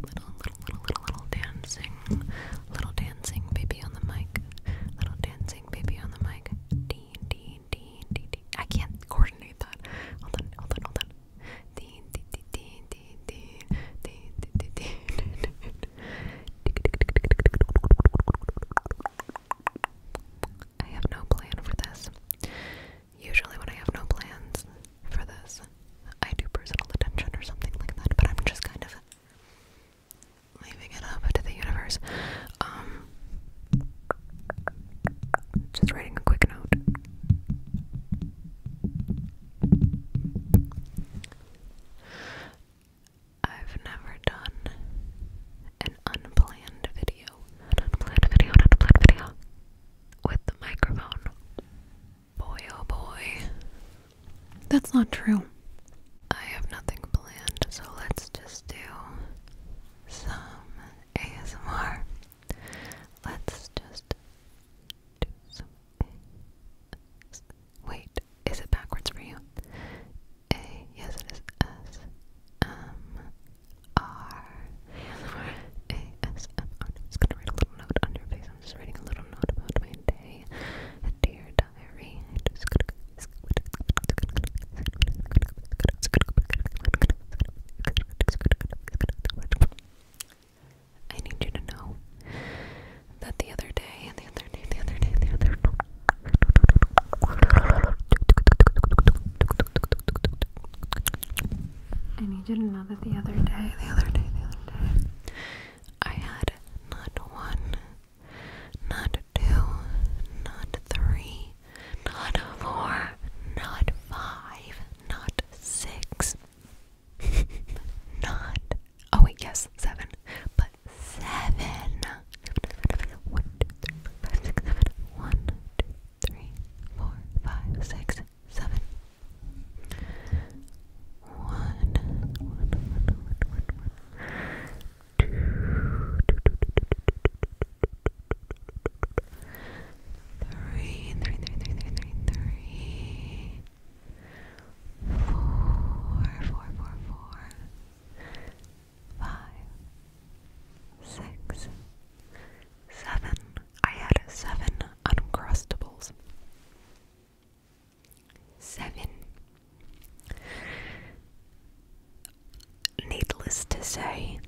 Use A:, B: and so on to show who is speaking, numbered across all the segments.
A: Little, little, little, little, little dancing. Little dancing baby on the mic. Little dancing baby on the mic. D, D, D, D, D. I can't coordinate that. Hold on, hold on, hold on. D, D, D, D, D, D, D, D, D, D. I have no plan for this. Usually, when I have no plans for this, I do personal attention or something like that, but I'm just kind of leaving it up to the universe. Um, just writing a quick note. I've never done an unplanned video, an unplanned video, an unplanned video with the microphone. Boy, oh boy. That's not true. I have nothing planned, so let's just do some ASMR. Let's just do some Wait, is it backwards for you? A, yes, it is S M R ASMR. I'm just gonna write a little note on your face. I'm just writing a little note about my day. Dear diary. I just I need you to know that the other day, the other day, the other day, the other and he didn't know that the other day, the other day, the other day, I had not one, not two, not three, not four, not five, not six, not, oh wait, yes, seven, but seven. One, two, three, four, five, six, seven. One, seven. One, one, one, one, one, one. Two, three, three, three, three, three, three, three. Four, four, four, four. Five, six, Seven. I had seven Uncrustables. Seven. Needless to say,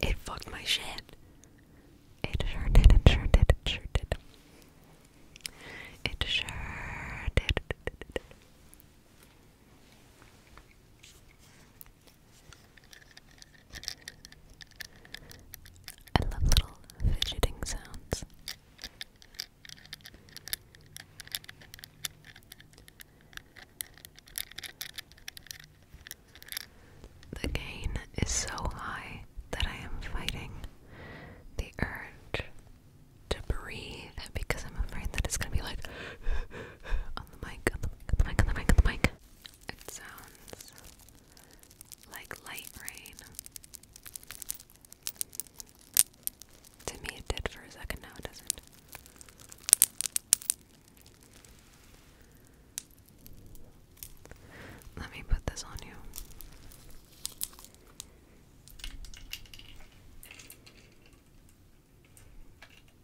A: it fucked my shit. It sure did, it sure did, it sure did. It sure did. I love little fidgeting sounds. The gain is so high that I am fighting the urge to breathe because I'm afraid that it's gonna be like on the mic, on the mic, on the mic, on the mic, on the mic. It sounds like light rain. To me, it did for a second, now it doesn't. Let me put this on you.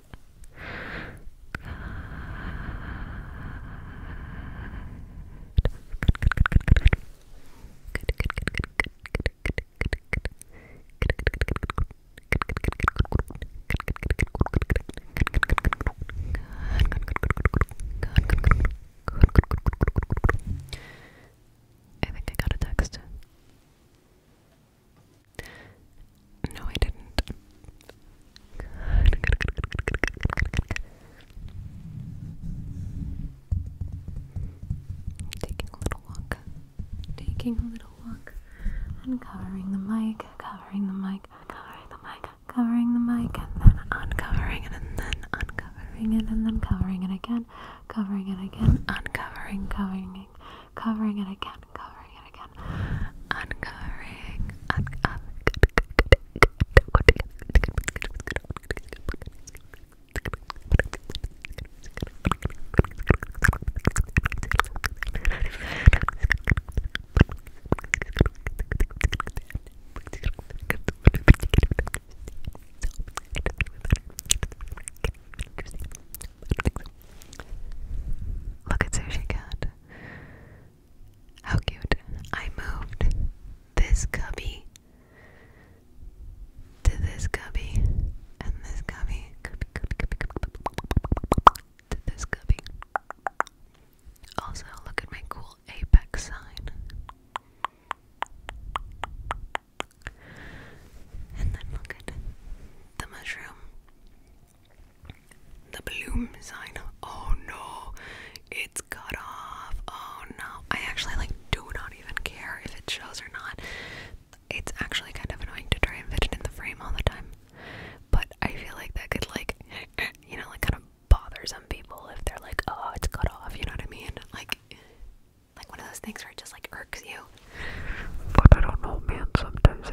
A: out. Good, I think I got a text. No, I didn't. Taking a little walk. Taking a little walk. And the mic, covering the mic, covering the mic, covering the mic, and then uncovering it, and then uncovering it, and then covering it again, covering it again, uncovering, covering covering it again uncovering and again uncovering un un Look at Sushi Cat. How cute. I moved this cubby to this cubby and this cubby, to this cubby. Also, look at my cool apex sign. And then look at the mushroom. The bloom sign. Oh no, it's cut off. Oh no. I actually like do not even care if it shows or not. It's actually kind of annoying to try and fit it in the frame all the time. But I feel like that could like you know, like kind of bother some people if they're like, oh it's cut off, you know what I mean? Like like one of those things where it just like irks you. But I don't know man, sometimes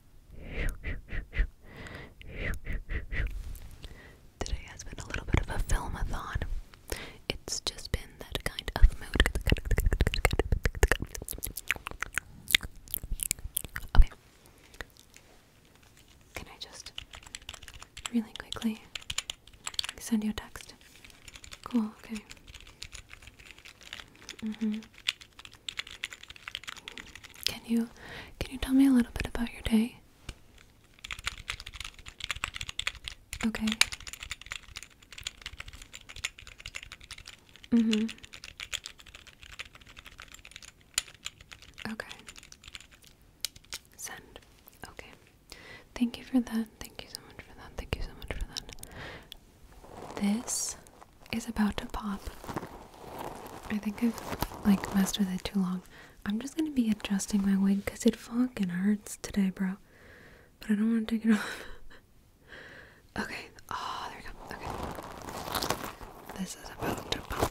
A: Today has been a little bit of a filmathon. It's just been that kind of mood. Okay. Can I just really quickly send you a text? Cool, okay. Mm hmm. Can you can you tell me a little bit about your day? Okay. Mhm. Mm okay. Send. Okay. Thank you for that. Thank you so much for that. Thank you so much for that. This is about to pop. I think I've like messed with it too long. I'm just gonna be adjusting my wig because it fucking hurts today, bro. But I don't want to take it off. okay. Oh, there we go. Okay. This is about to pop.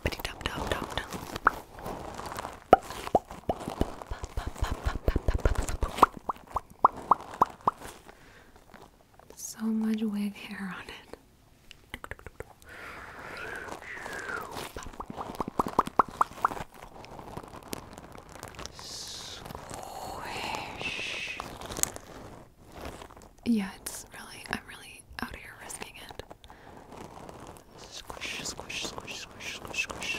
A: So much wig hair on it. Squish. Yeah, it's really, I'm really out here risking it. Squish, squish, squish, squish, squish, squish.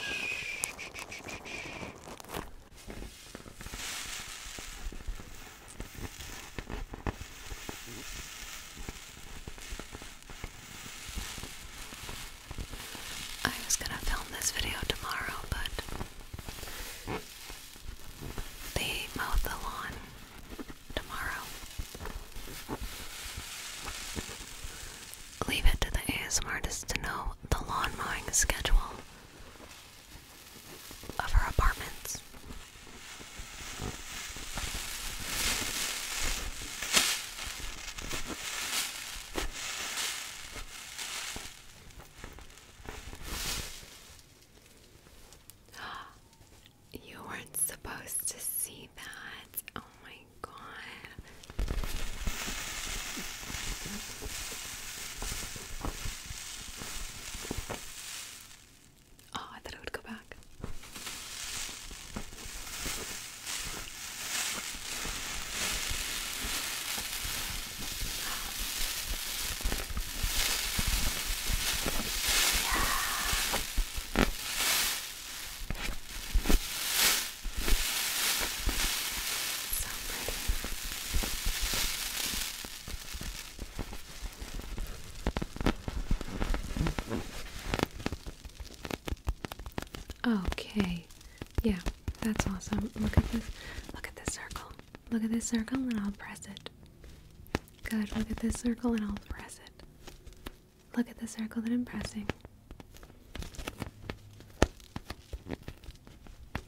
A: I was gonna film this video tomorrow, but they mowed the lawn tomorrow. Leave it to the ASMR artists to know the lawn mowing schedule of her apartments. You weren't supposed to see that. Oh my god. Oh, I thought it would go back. Yeah. So pretty. Okay. Yeah, that's awesome. Look at this. Look at this circle. Look at this circle and I'll press it. Good. Look at this circle and I'll press it. Look at the circle that I'm pressing.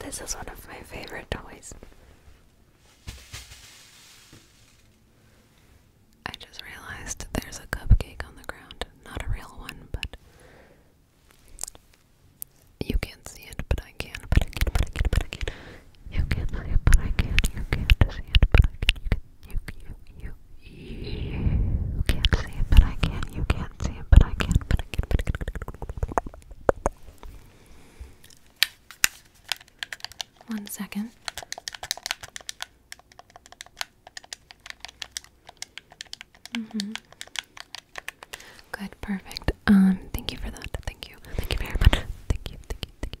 A: This is one of my favorite toys. I just realized there's a cupcake on the ground. Not a real one, but you can't see it, but I can. But I can, but I can, but I can. You can, but I can. You can't see it, but I can you, you, you, you can't see it, but I can. You can't see it, but I can. One mm-hmm. Good, perfect. Um, thank you for that. Thank you. Thank you very much. Thank you. Thank you. Thank you.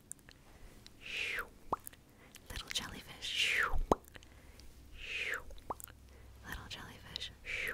A: Little jellyfish. Little jellyfish.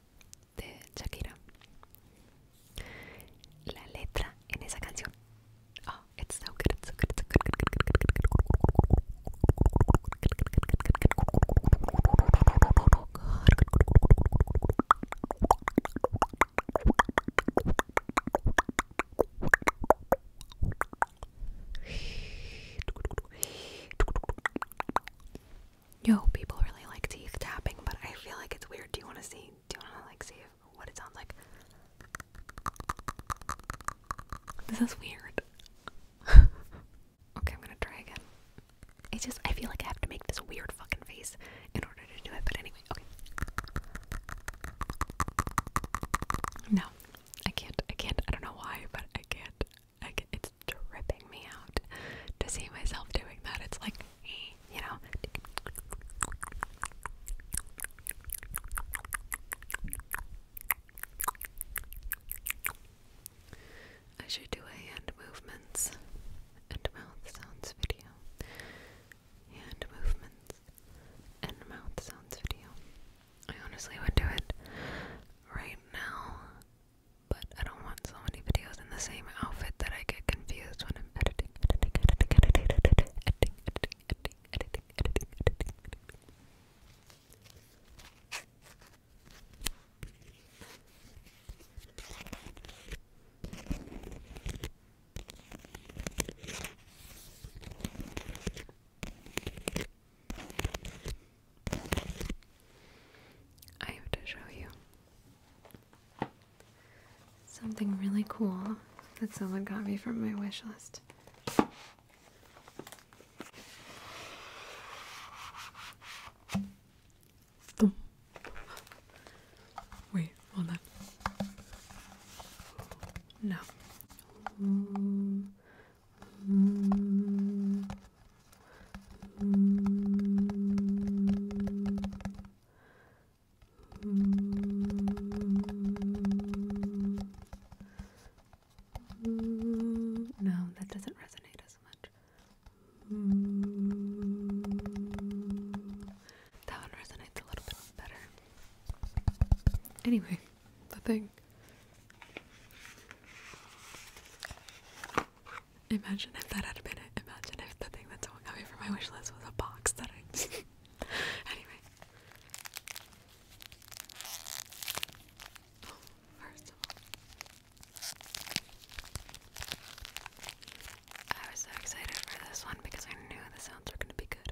A: de Shakira. La letra en esa canción. Yo, people really like teeth tapping, but I feel like it's weird. Do you want to see? Do you want to like see what it sounds like? This is weird. okay, I'm gonna try again. It's just I feel like I have to make this weird fucking face in order to do it. But anyway, okay. No, I can't. I can't. I don't know why, but I can't it's tripping me out to see myself doing that. It's like, you know. I should do a hand movements and mouth sounds video. Hand movements and mouth sounds video. I honestly would do it right now but I don't want so many videos in the same outfit that I get confused when I'm editing, editing, editing, editing, editing, editing, editing, editing, editing, editing, editing, editing. Okay, I have to show you something really cool that someone got me from my wish list. Wait, hold on. No. No, that doesn't resonate as much. that one resonates a little bit better. Anyway, the thing. Imagine if that had been it. Imagine if the thing that's someone got from my wish list was a box that I. anyway. first of all. I was so excited for this one because I knew the sounds were going to be good.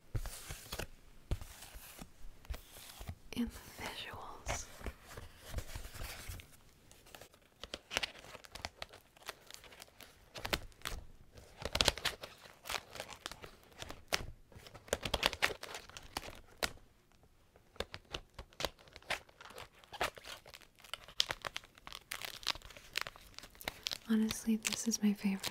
A: in the visuals. Honestly, this is my favorite.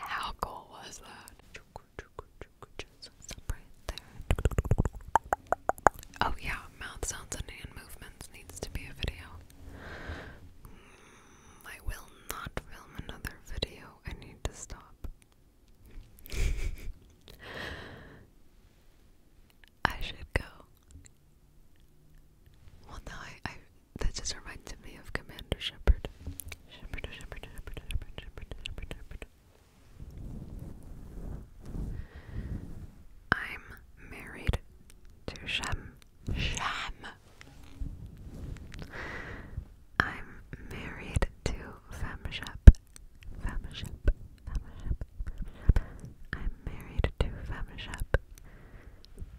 A: How cool was that? Oh yeah, mouth sounds and hand movements needs to be a video. Mm, I will not film another video. I need to stop. I should go. Well, now I, I that just reminds me of Commander Shepard. Shepard, Shepard, Shepard, Shepard, Shepard, Shepard, Shepard. I'm married to Shem. Shem. I'm married to Femshep. Femshep. Femshep. I'm married to Femshep.